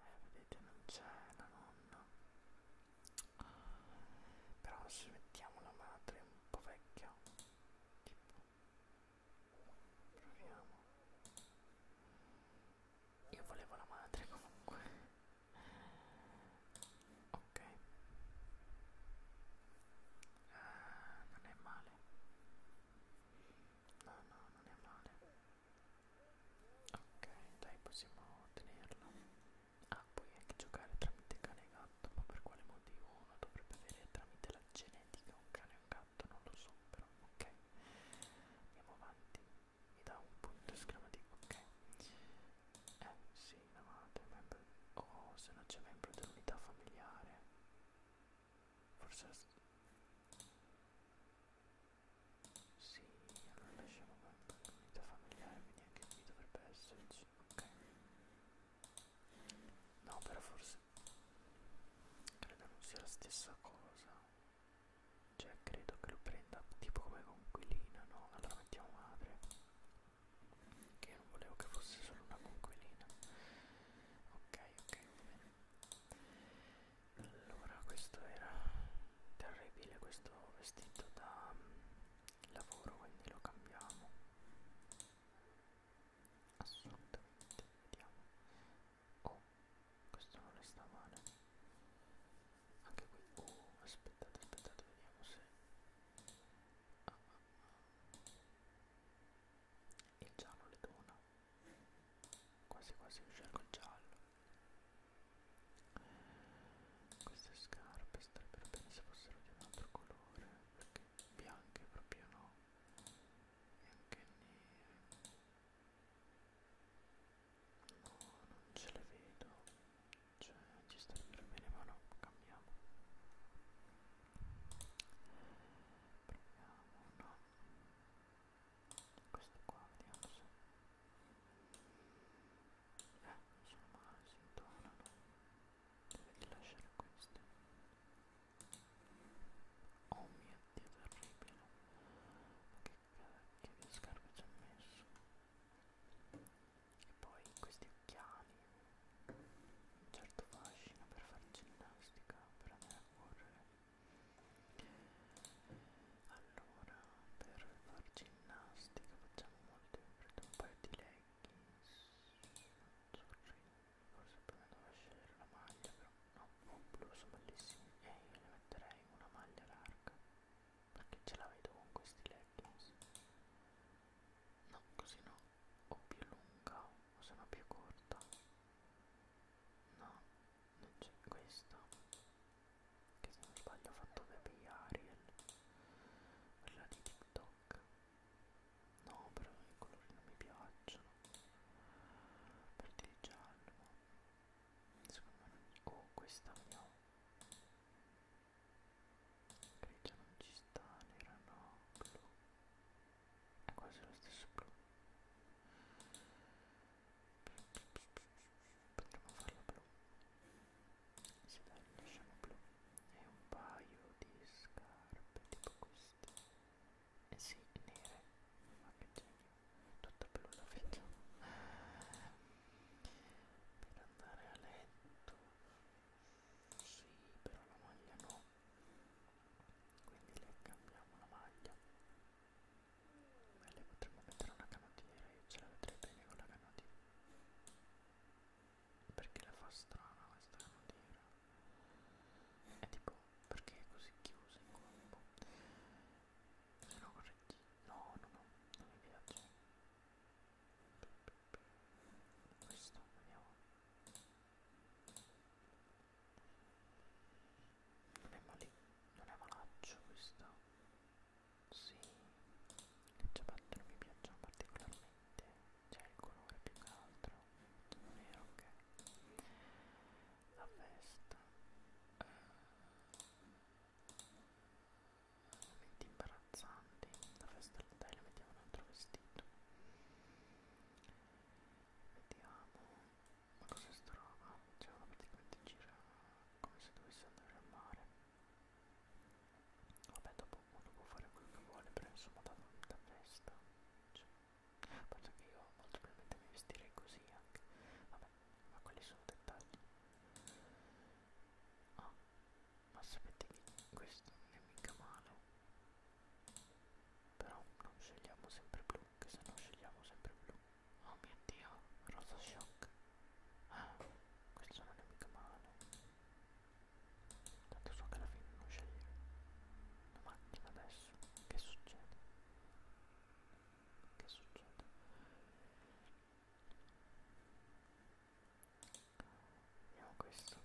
eh, vedete non c'è la nonna però se mettiamo la madre un po' vecchia tipo proviamo io volevo la madre comunque ok eh, non è male no no non è male Ok, dai, possiamo tenerla. Ah, puoi anche giocare tramite cane e gatto, ma per quale motivo uno dovrebbe avere tramite la genetica un cane e un gatto? Non lo so, però ok. Andiamo avanti. Mi dà un punto esclamativo, ok. Eh, sì, la madre, membro... Oh, se non c'è membro dell'unità familiare. Forse... Sì, allora lasciamo qua comunità familiare, quindi anche qui dovrebbe esserci, ok. No, però forse credo non sia la stessa cosa. Cioè credo che lo prenda tipo come conquilina, no? Allora mettiamo madre. Che io non volevo che fosse solo una conquilina. Ok, ok, va bene allora questo era terribile questo vestito da mm, lavoro quindi lo cambiamo assolutamente vediamo oh questo non le sta male anche qui oh aspettate aspettate vediamo se ah, ah, ah. il giallo le dona quasi quasi scelgo il giallo queste scarpe starebbero bene se fossero di un altro colore perché bianche proprio no bianche nere no non ce le vedo cioè ci starebbero bene ma no cambiamo proviamo no questo qua vediamo se eh insomma si intonano devi lasciare queste oh mio dio terribile ma che cacchio di scarpe ci ha messo e poi questi occhiali un certo fascino per fare ginnastica per andare a correre allora per far ginnastica facciamo molto in fretta un paio di leggings azzurri forse prima devo scegliere la maglia però no oh, blu sono bellissimi e eh, io ne metterei una maglia larga perché ce la vedo con questi leggings no così no o più lunga o se no più corta no non c'è questa che se non sbaglio ho fatto Baby Ariel quella di TikTok no però i colori non mi piacciono per il giallo secondo me non... oh questa vediamo grigia non ci sta nera no blu è quasi lo stesso blu potremmo farlo blu sì dai lasciamo blu e un paio di scarpe tipo queste eh sì nere ma che genio tutta blu la vedo per andare a letto sì però la maglia no quindi le cambiamo la maglia Beh, lei potremmo mettere una canottiera, io ce la vedrei bene con la canottiera. Perché la fa strana questa canottiera? È tipo, perché è così chiusa in colpo? Se no corretti. No, no, no, non mi piace. Questo, andiamo. Non è male, non è malaccio questo. Sì, le ciabatte non mi piacciono particolarmente, c'è il colore più che altro, non è ok. La veste eh, momenti imbarazzanti, la veste dai la mettiamo un altro vestito. Vediamo. Ma cos'è sta roba? Cioè uno praticamente gira come se dovesse andare al mare. Vabbè dopo uno può fare quello che vuole, però insomma da, da festa. Cioè, penso che io molto probabilmente mi vestirei così anche. Vabbè, ma quelli sono dettagli. Ah, ma sapete che questo non è mica male. Però non scegliamo sempre blu che se no scegliamo sempre blu oh mio dio rosa shock ah questo non è mica male tanto so che alla fine non scegliere la macchina adesso che succede che succede vediamo questo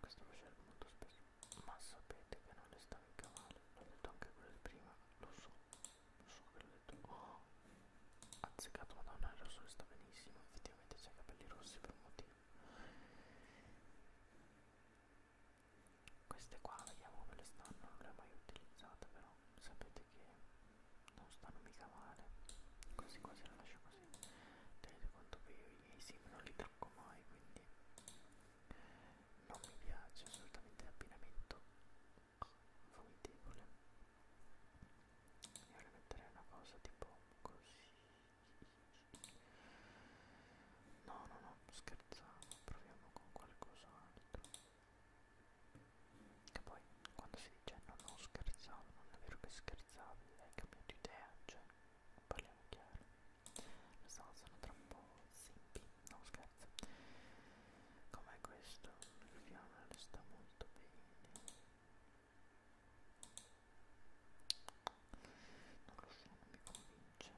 questo lo scelgo molto spesso ma sapete che non le sta in cavallo l'ho detto anche quello di prima lo so lo so che l'ho detto oh azzeccato madonna il rosso le sta benissimo effettivamente c'è i capelli rossi per un motivo queste qua vediamo come le stanno non le ho mai utilizzate però sapete che non stanno mica male quasi quasi la lascio così tenete conto che io i miei sim non li tocco mai quindi non mi piace assolutamente l'abbinamento vomitevole io le metterei una cosa tipo così no no no scherziamo proviamo con qualcos'altro che poi quando si dice no no scherzavo non è vero che scherzavi hai cambiato idea cioè parliamo chiaro lo so sono troppo simpi non scherzo com'è questo il fiammale sta molto bene non lo so non mi convince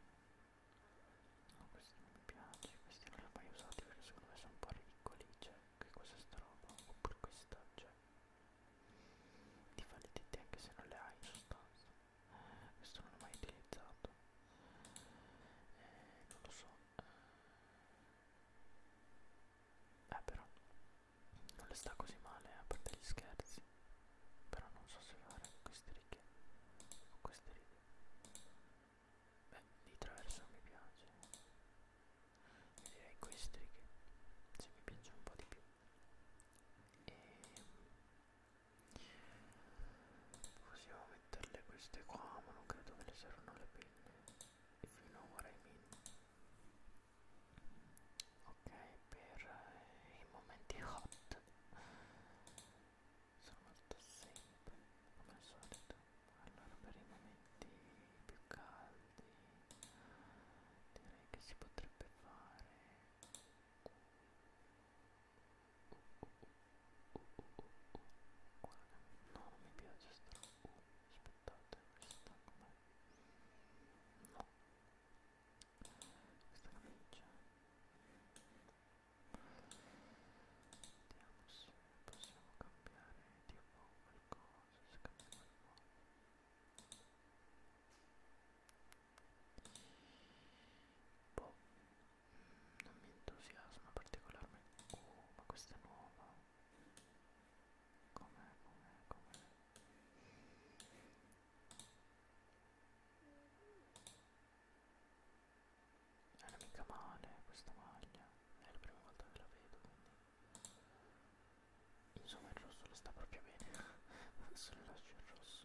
no questi non mi piace questi non li ho mai usati perché secondo me sono un po' ridicoli cioè che cos'è sta roba oppure questa cioè ti fa le tette anche se non le hai in sostanza questo non l'ho mai utilizzato eh, non lo so eh, eh però non le sta così male eh, a parte gli scherzi però non so se fare queste righe o queste righe beh di traverso mi piace io direi queste righe se mi piace un po' di più e ehm, possiamo metterle queste qua ma non credo che le servano le penne finora i min ok per eh, i momenti hot sono molto semplici come al solito allora per i momenti più caldi direi che si potrebbe fare no non mi piace sta uh, aspettate questa com'è no questa camicia vediamo se possiamo cambiare tipo qualcosa se cambia qualcosa Boh, non mi entusiasma particolarmente. Oh, ma questa è nuova. Com'è, com'è, com'è? Non è mica male questa maglia, è la prima volta che la vedo quindi insomma il rosso le sta proprio bene, se le lascio il rosso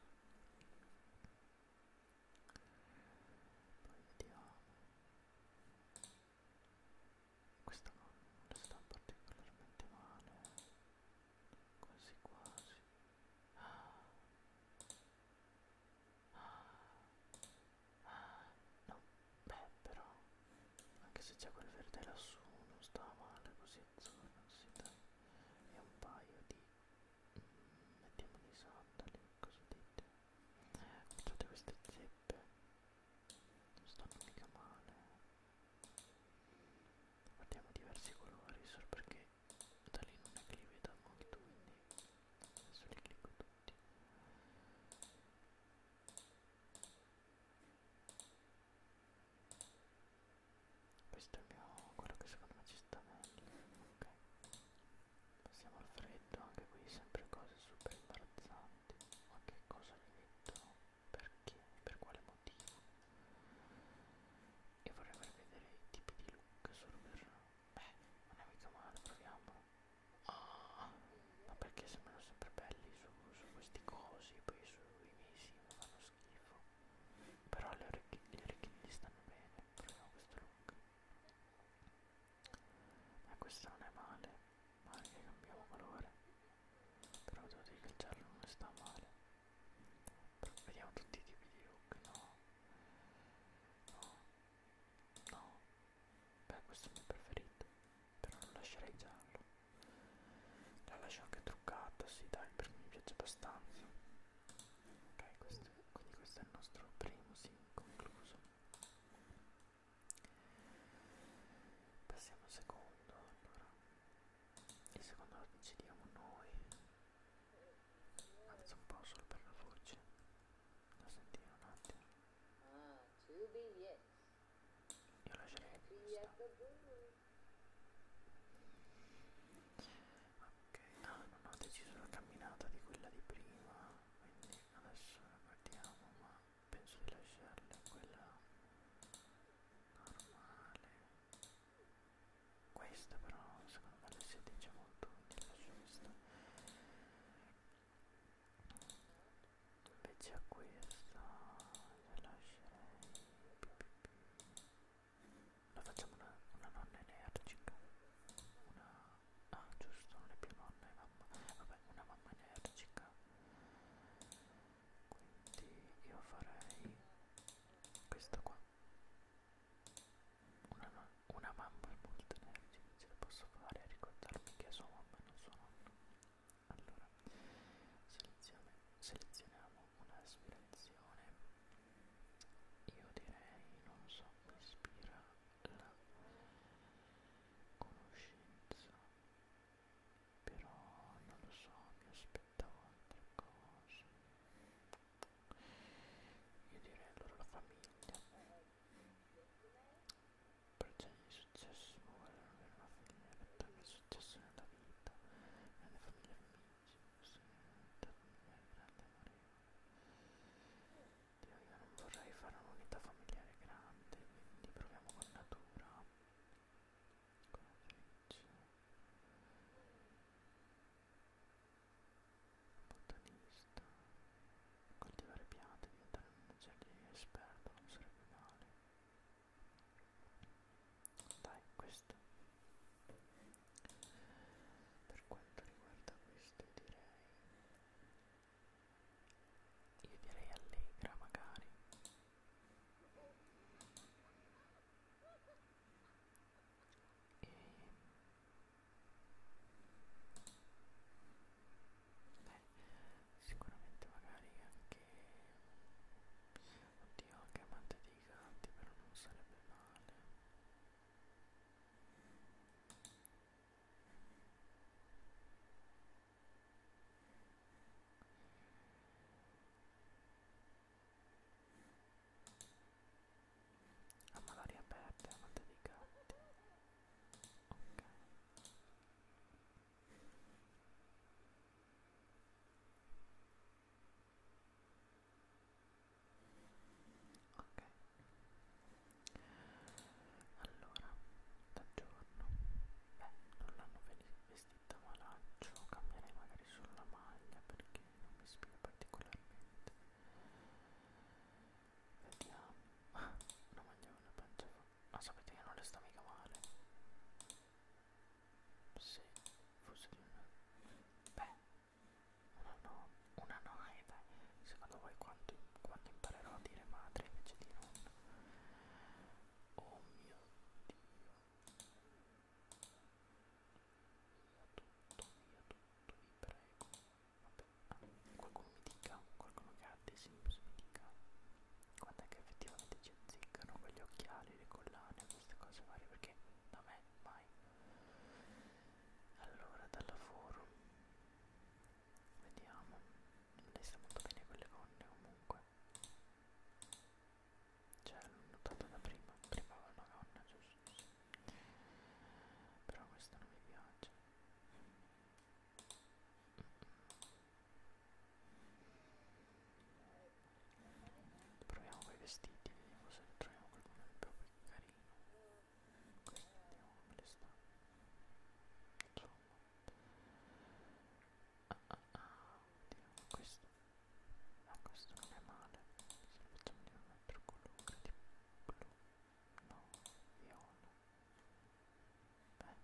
poi vediamo questa non sta particolarmente male quasi quasi ah. Ah. Ah. no beh però anche se c'è quel verde lassù non sta male così insomma si dà e un paio di mettiamo dei sandali cosa dite guardate queste zeppe non stanno mica male guardiamo diversi colori solo perché da lì non è che li veda molto quindi adesso li clicco tutti questo è il mio quello che secondo me ci sta meglio ok passiamo al freddo anche qui sempre cose super imbarazzanti ma che cosa mi mettono perché per quale motivo e vorrei far vedere i tipi di look solo per beh non è mica male proviamolo oh, ah, ma perché sembrano sempre belli su, su questi cosi poi sui mesi mi fanno schifo però le orecchie, le orecchie gli stanno bene proviamo questo look ma questo non è male male che cambiamo colore però devo dire che il giallo non sta male però vediamo tutti i tipi di look no no no beh questo è il mio preferito però non lascerei giallo la lascio anche truccata, sì dai, perché mi piace abbastanza ok questo, quindi questo è il nostro primo sim concluso passiamo al secondo allora il secondo lo decidiamo noi alzo un po' solo per la voce da sentire un attimo ah, io lascerei questa ok no non ho deciso la camminata di quella di prima quindi adesso la guardiamo ma penso di lasciarla quella normale questa però secondo me le si addice molto quindi lascio questa invece a questa la lascerei la facciamo una, una nonna energica una ah giusto non è più nonna è mamma vabbè una mamma energica quindi io farei questo qua una, no una mamma è molto energica ce la posso fare ricordarmi che è sua mamma e non sua nonna allora selezioniamo selezioniamo un'aspirazione io direi non so mi ispira la conoscenza però non lo so mi aspettavo altre cose io direi allora la famiglia per genere di successo ma guarda non avere una famiglia perché è successo nella vita grande famiglia famiglia Dio, io non vorrei fare un'unità familiare grande, quindi proviamo con natura. Con la freccia. Botanista. Coltivare piante, diventare un giardiniere esperto non sarebbe male dai questo per quanto riguarda questo direi io direi allegra magari e Beh, sicuramente magari anche Oddio, anche amante dei gatti, però non sarebbe male. Ah, ma l'aria aperta, amante dei gatti. Ok. Ok. Allora, da giorno. Beh, non l'hanno vestita ma lancio, cambierei magari solo la maglia perché non mi ispira particolarmente. Vediamo. Ah, una maglia con la pancia. Ah, ma sapete che non le sta mica male se fosse di una beh una no una no e eh, dai secondo voi quanto, quando imparerò a dire madre invece di nonna oh mio dio via tutto via tutto vi prego vabbè ah, qualcuno mi dica qualcuno che ha dei sims mi dica quando è che effettivamente ci azzeccano con gli occhiali, le collane, queste cose varie perché da me mai. Allora, dal lavoro, vediamo, lei sta molto bene con le gonne comunque. Cioè, l'ho notato da prima, prima aveva una gonna, giusto? Sì. Però questo non mi piace. Mm -mm. Proviamo quei vestiti, vediamo se troviamo qualcuno di più carino. Quindi vediamo come le sta. Insomma. Ah ah ah, vediamo questo. Ma ah, questo non è male. Se lo facciamo di un altro colore, di blu. No, viola. Beh.